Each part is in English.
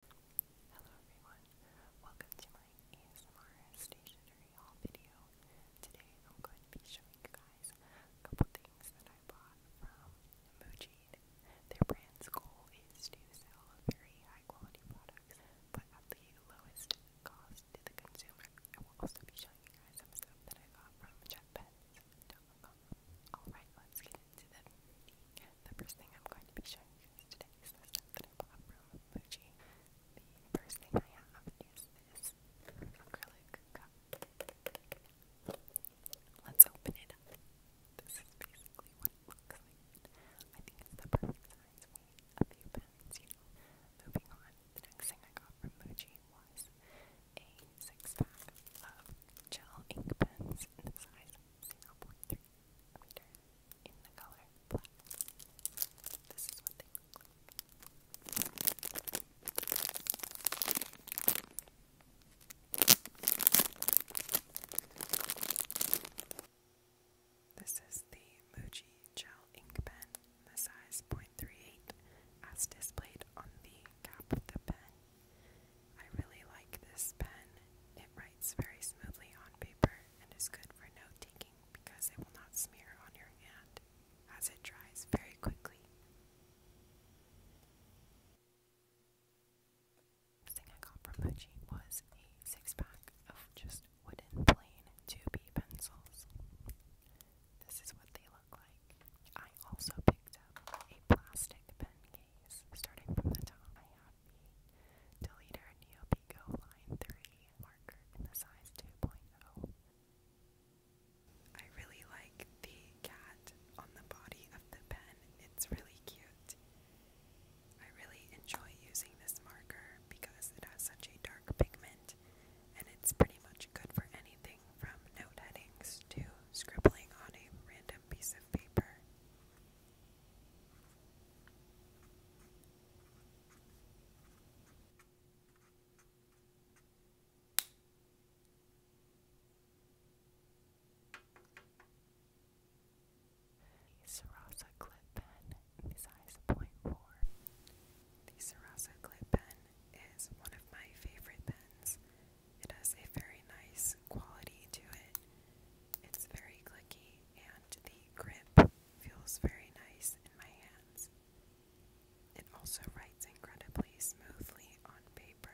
Hello everyone, welcome to my ASMR stationery haul video. Today I'm going to be showing you guys a couple things that I bought from Muji. Their brand's goal is to sell very high quality products, but at the lowest cost to the consumer. I will also be showing you guys some stuff that I got from Jetpets.com. Alright, let's get the first thing I'm going to be showing you today is the that I bought from Fuji. The first thing I have is this acrylic cup. Let's open it up. This is basically what it looks like. I think it's the perfect size, weight, a few pounds, you know. Moving on, the next thing I got from Muji was a six pack of gel ink pens in the size 0.3 reader in the color black. This is what they look like. This is the Muji Gel Ink Pen, the size 0.38, as displayed on the cap of the pen. I really like this pen. It writes very smoothly on paper and is good for note taking because it will not smear on your hand as it dries very quickly. The thing I got from Muji was a six pack of just wooden plain 2B pencils. This is what they look like. I also picked up a plastic pen case starting from the top, I have the Deleter Neopico Line 3 marker in the size 2.0. I really like the cat on the body of the pen, it's really cute. I really enjoy using this marker because it has such a dark pigment and it's pretty much good for anything from note headings to scribbling on a random piece of paper. The Sarasa Clip Pen size 0.4. The Sarasa Clip Pen is one of my favorite pens. It has a very nice quality to it. It's very clicky and the grip feels very nice in my hands. It also writes incredibly smoothly on paper.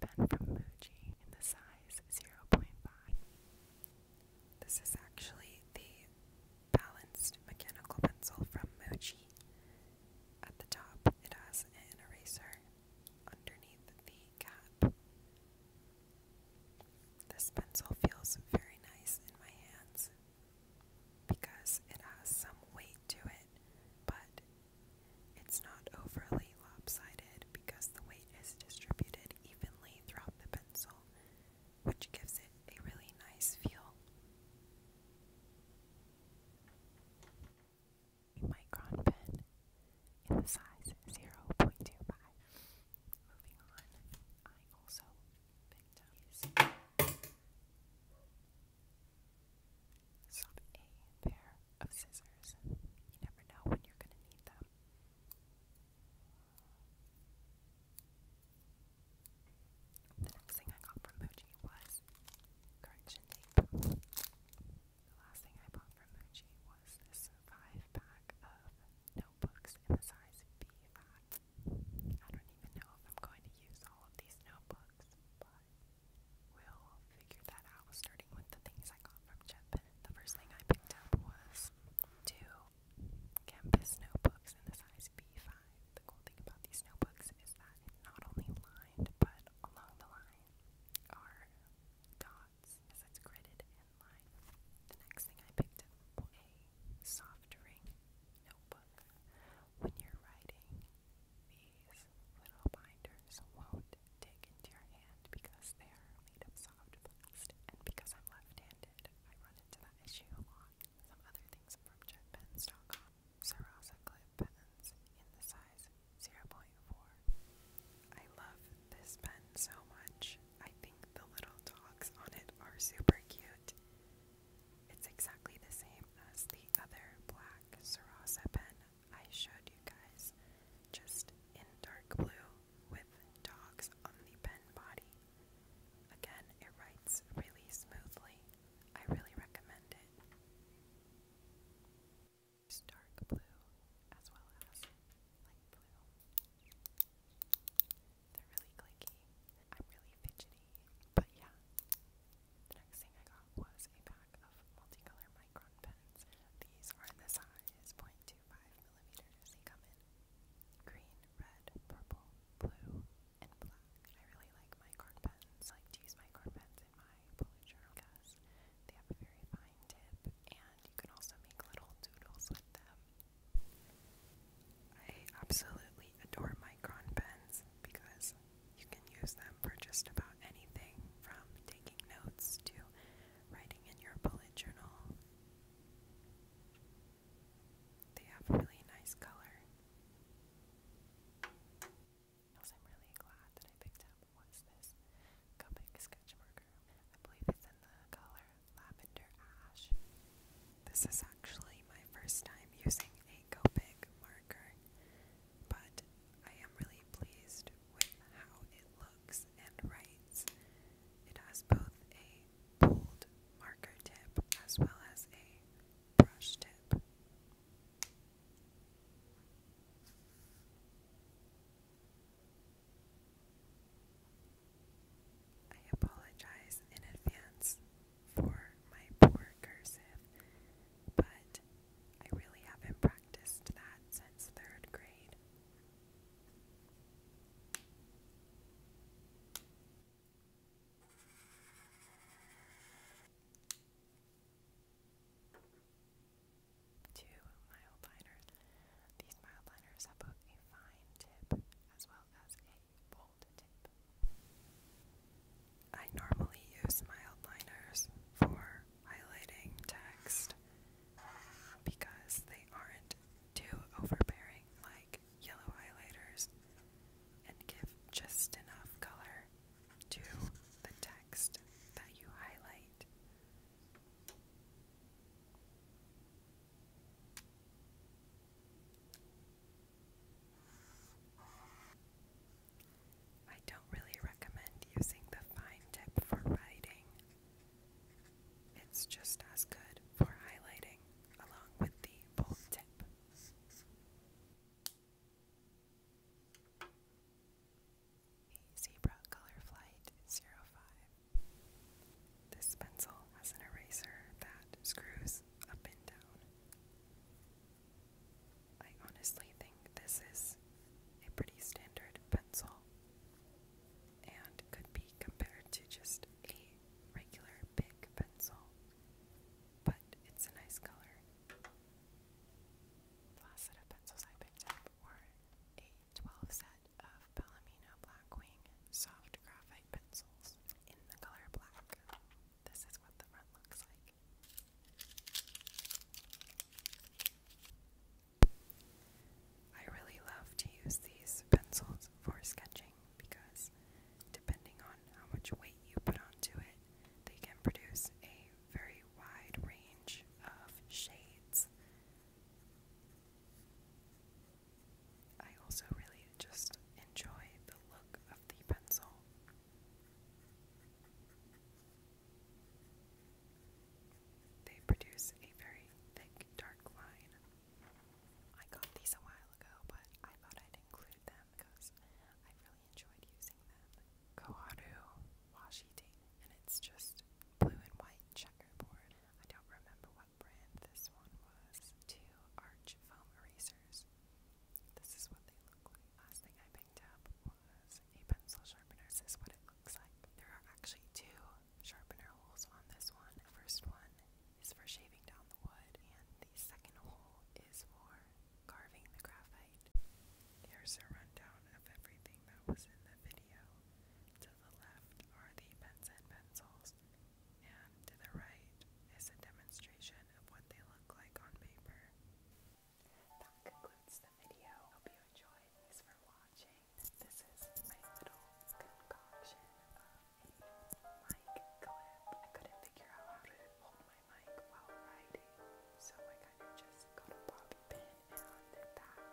Pen from Muji in the size 0.5. This is actually the balanced mechanical pencil from Mochi. At the top, it has an eraser underneath the cap. This pencil feels very nice in my hands because it has some weight to it, but it's not overly lopsided because the weight is distributed evenly throughout the pencil, which gives it a really nice feel. A micron pen in the size 0.25. Moving on, I also picked up a pair of scissors. You never know when you're going to need them. The next thing I got from Muji was correction tape. The last thing I bought from Muji was this five pack of notebooks in the size B fat. I don't even know if I'm going to use all of these notebooks, but we'll figure that out starting with the things I got from Jet the first thing I picked up was two campus notebooks in the size B5. The cool thing about these notebooks is that it's not only lined, but along the line are dots as it's gridded and lined. The next thing I picked up was a soft ring notebook. When you're writing, these little binders won't take into your hand because they are made of soft plastic. And because I'm left-handed, I run into that issue a lot. Some other things from JetPens.com. Sarasa Clip Pens in the size 0.4. I love this pen so much. I think the little dogs on it are super cute. It's exactly the same as the other black Sarasa pen I showed you guys, just in dark blue with dogs on the pen body. Again, it writes really smoothly. I really recommend it. dark blue as well as light blue. They're really clicky. I'm really fidgety. But yeah, the next thing I got was a pack of multicolor micron pens. These are the size 0.25mm they come in. Green, red, purple, blue, and black. I really like micron pens. I like to use micron pens in my bullet journal because they have a very fine tip and you can also make little doodles with them. I absolutely adore micron pens because you can use them for just about anything from taking notes to writing in your bullet journal. They have really nice color. Also, I'm really glad that I picked up what's this Copic sketch marker. I believe it's in the color lavender ash. This is actually my first time using a Copic marker, but I am really pleased with how it looks and writes. It has both a bold marker tip as well as a brush tip. I apologize in advance for my poor cursive, but I really haven't practiced that since third grade. Two mild liner. These mild liners have both a fine tip as well as a bold tip. I normally use mild liners for highlighting text because they aren't too overbearing like yellow highlighters and give just enough color to the text that you highlight. I don't really recommend using the fine tip for writing. It's just as good for highlighting along with the bold tip. Zebra Color Flight 05. This pencil has an eraser that screws up and down. I honestly think this is a pretty standard pencil and could be compared to just a regular big pencil, but it's a nice color. The last set of pencils I picked up were a 12 set of Palomino Blackwing soft graphite pencils in the color black. This is what the front looks like. I really love to use these pencils for sketching because depending on how much weight you put onto it, they can produce a very wide range of shades. I also really just enjoy the look of the pencil. They produce a very thick, dark line. I got these a while ago, but I thought I'd include them because I really enjoyed using them. Koharu Washi-tape, and it's just blue and white checkerboard. I don't remember what brand this one was. Two arch foam erasers. This is what they look like. Last thing I sharpening was a pencil sharpener. This is what it looks like. There are actually two sharpener holes on this one. The first one is for shaving down the wood, and the second hole is for carving the graphite. Here's a rundown of everything that was in the video. To the left are the pens and pencils, and to the right is a demonstration of what they look like on paper that concludes the video. Hope you enjoyed. Thanks for watching. This is my little concoction of a mic clip. I couldn't figure out how to hold my mic while riding, so I kind of just got a bobby pin and did that.